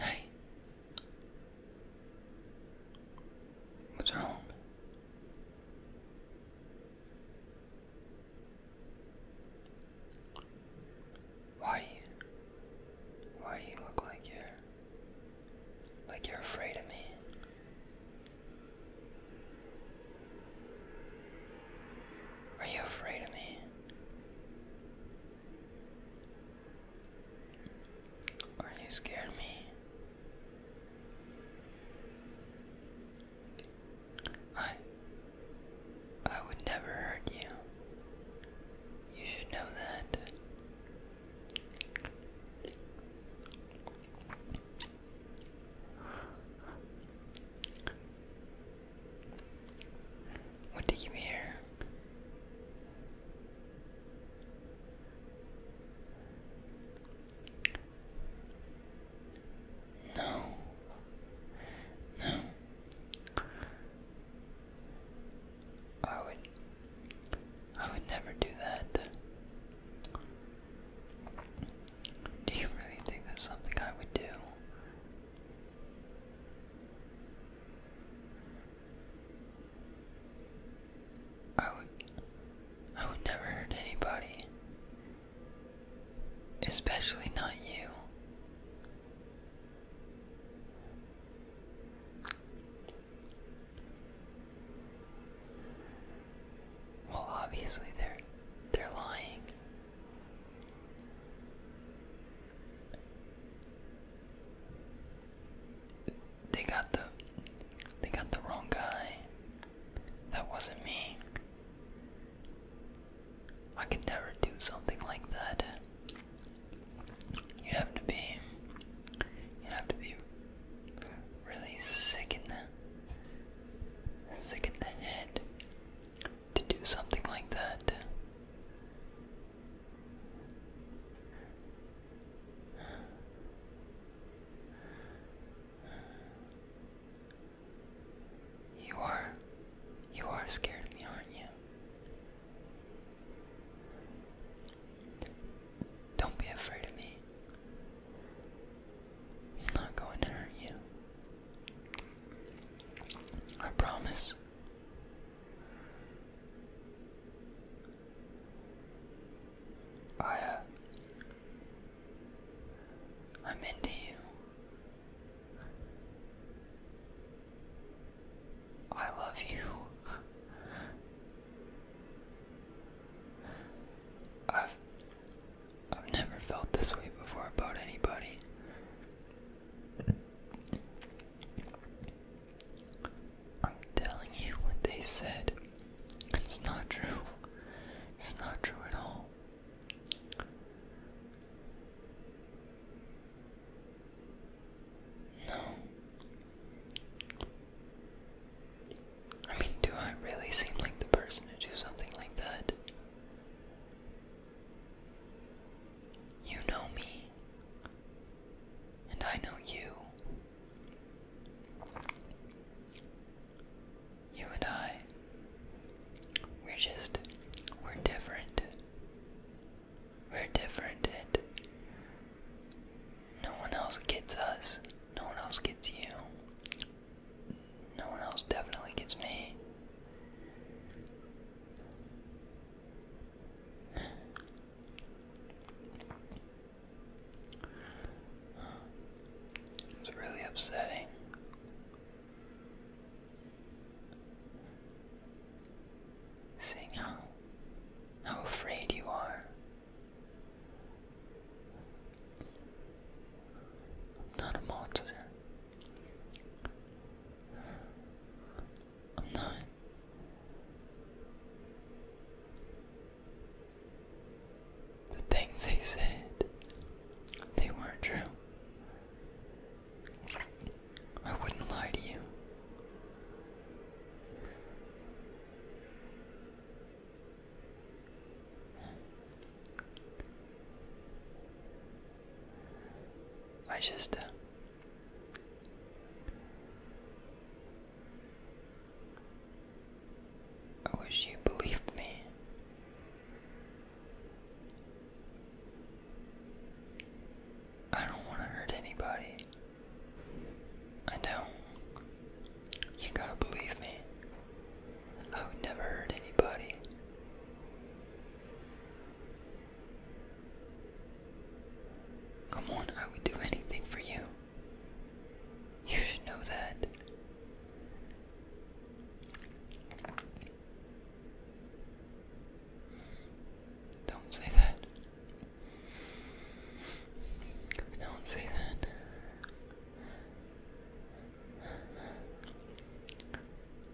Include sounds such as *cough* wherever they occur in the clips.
Hey, what's wrong? Why why do you look like you're, like you're afraid of me? Are you afraid of me? Are you scared of me? I I would never hurt you. You should know that. What did you hear? No. No. I would I would never do that. Do you really think that's something I would do? I would I would never hurt anybody. Especially not you. Well, obviously they're they're lying. They got the they got the wrong guy. That wasn't me. I could never do something like that. You'd have to be you'd have to be really sick in the sick in the head to do something like that. You are you are scared of me, aren't you? Don't be afraid of me. I'm not going to hurt you. I promise. I, uh, I'm into you. I love you. *laughs* I've I've never felt this way before about anybody. I'm telling you what they said. It's not true. It's not true at all. No. I mean, do I really seem like the person to do something like that? You know me, and I know you. You and I, we're just, we're different. We're different, and no one else gets us, no one else gets you. No one else definitely gets me. It's really upsetting. Seeing how how afraid you are. I'm not a monster. I'm not. The things they said, they weren't true. I wouldn't lie to you. I just uh, I wish you believed me. I don't want to hurt anybody. I do You gotta believe me. I oh, would never hurt anybody. Come on, I would do anything for you. You should know that. Don't say that. Don't say that.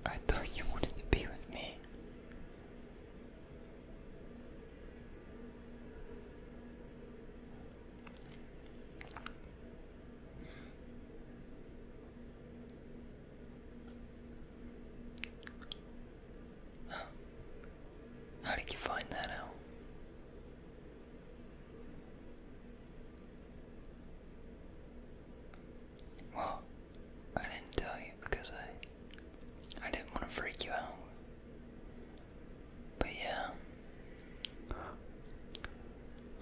I thought you wanted to be with me. How did you find that out? Well, I didn't tell you because I I didn't want to freak you out. But yeah.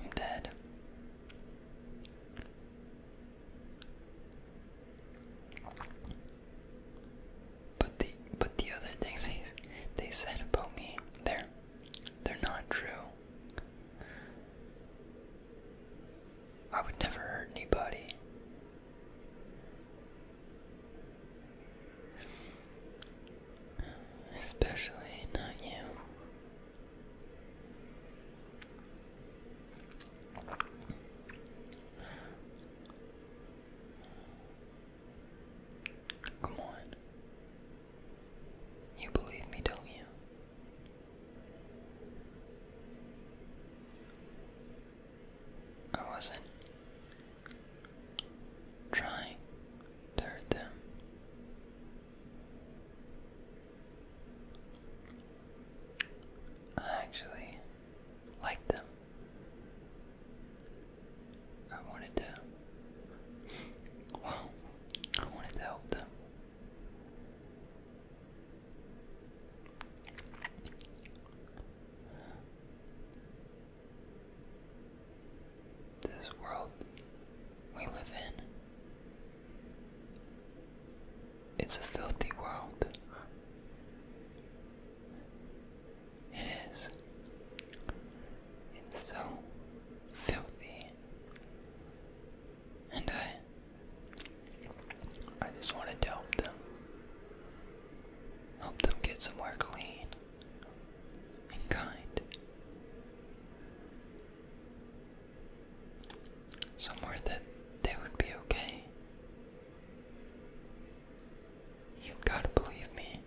I'm dead. But the but the other things they, they said about me there they're not true. I would never hurt anybody. Especially not you. Come on. You believe me, don't you? I wasn't trying to hurt them. I actually like them. I wanted to, well, I wanted to help them. This world we live in. It's a filthy world it is. It's so filthy. And I I just wanted to help them. Help them get somewhere clean and kind. Somewhere that they would be okay. You gotta believe me.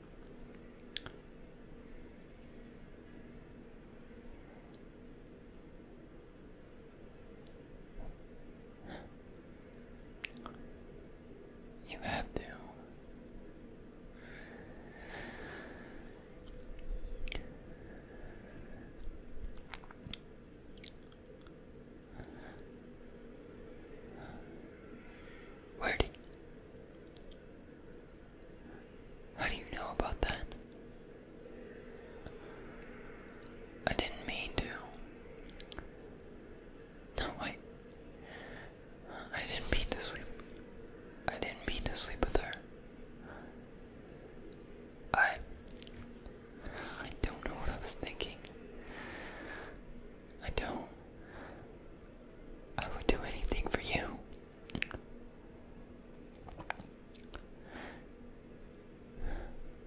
You have to. Where did how do you know about that? I didn't mean to. No, I. I didn't mean to sleep. I didn't mean to sleep with her. I. I don't know what I was thinking. I don't. I would do anything for you.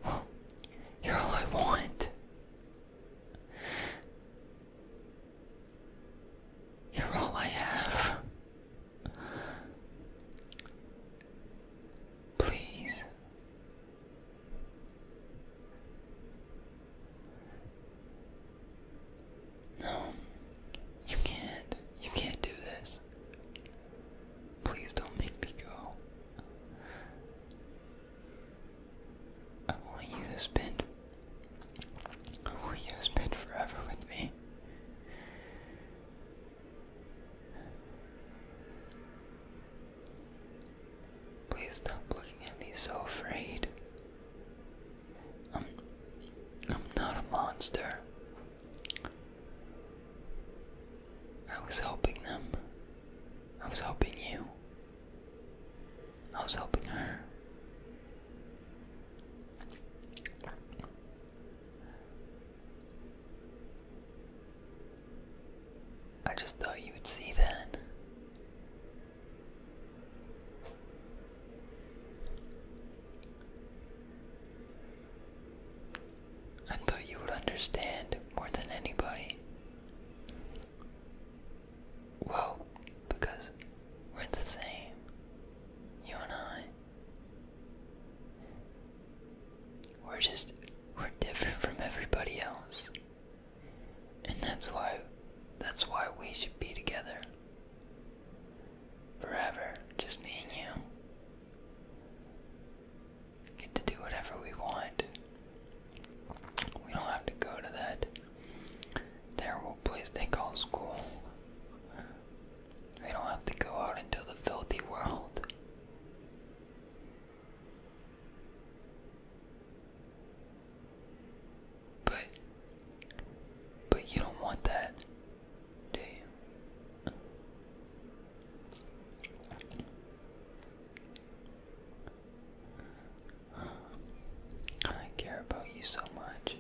Well, you're all I want. You're all I have. Please no, you can't. You can't do this. Please don't make me go. I want you to spend. I want you to spend forever with me. Please stop looking at me so afraid. I'm, I'm not a monster. I was helping them. I was helping you. I was helping her. I just thought you would see that. I thought you would understand more than anybody. Well, because we're the same, you and I. We're just, we're different from everybody else. And that's why that's why we should be together. Forever, just me and you. Get to do whatever we want. We don't have to go to that terrible place they call school. We don't have to go out into the filthy world. But but you don't want that, do you? I care about you so much.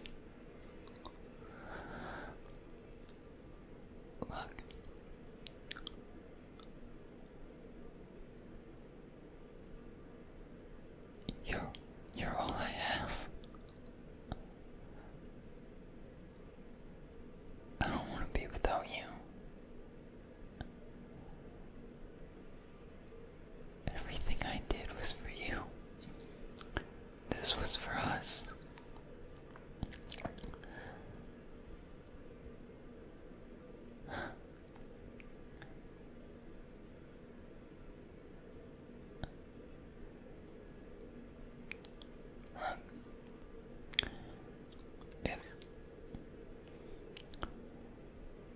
Look, you're you're all I have. I don't want to be without you. Everything I did was for you. This was for us if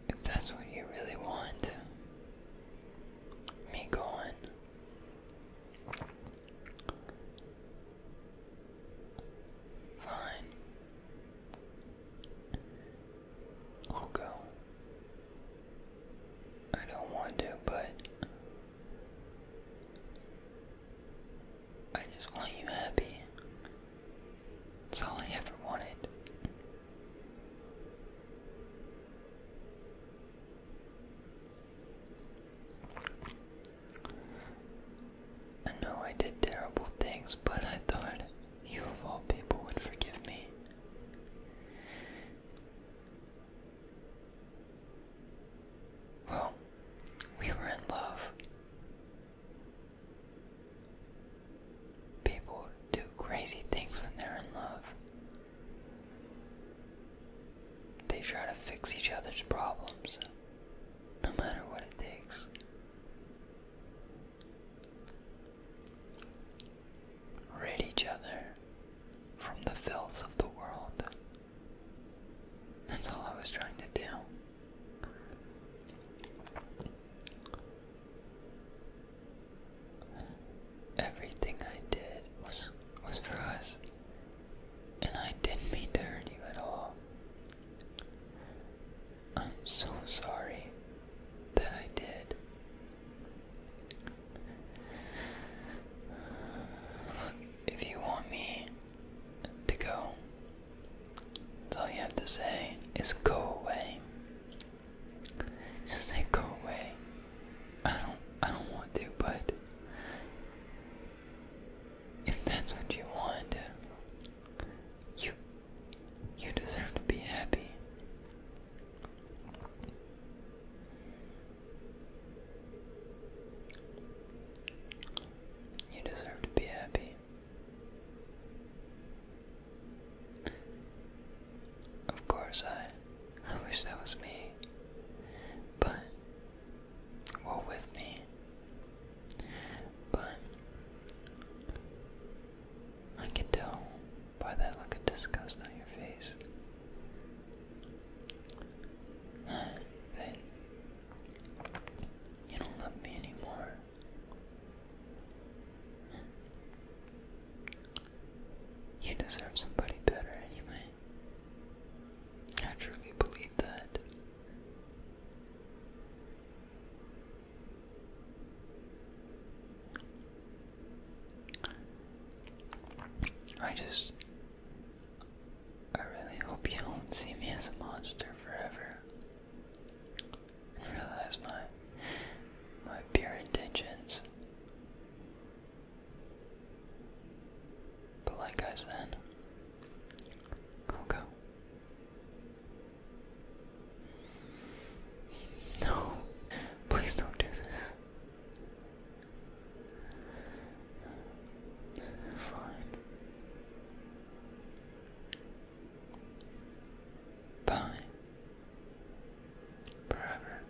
if that's what you really want, me going, Fine. I'll go. I don't want to, but I just want you happy. That's all I ever wanted. I know I did terrible things, but I thought you of all people would forgive me. Well, we were in love. People do crazy things when they're in love. They try to fix each other's problems no matter what it takes. Rid each other from the filth of the world. That's all I was trying to do. Everything I did was was for us. And I didn't mean to hurt you at all. I'm so sorry that I did. Look, if you want me to go, all you have to say is go away. Just say go away. I don't I don't want to, but if that's what you want, you you deserve to be happy. You deserve to be happy. Of course, I, I wish that was me, but well with me. But I can tell by that look of disgust on your face that you don't love me anymore. You deserve somebody better anyway. I truly believe that. I just. I really hope you don't see me as a monster forever. realize my. my pure intentions but like us then. i No, please don't do this. Fine. Bye. Forever.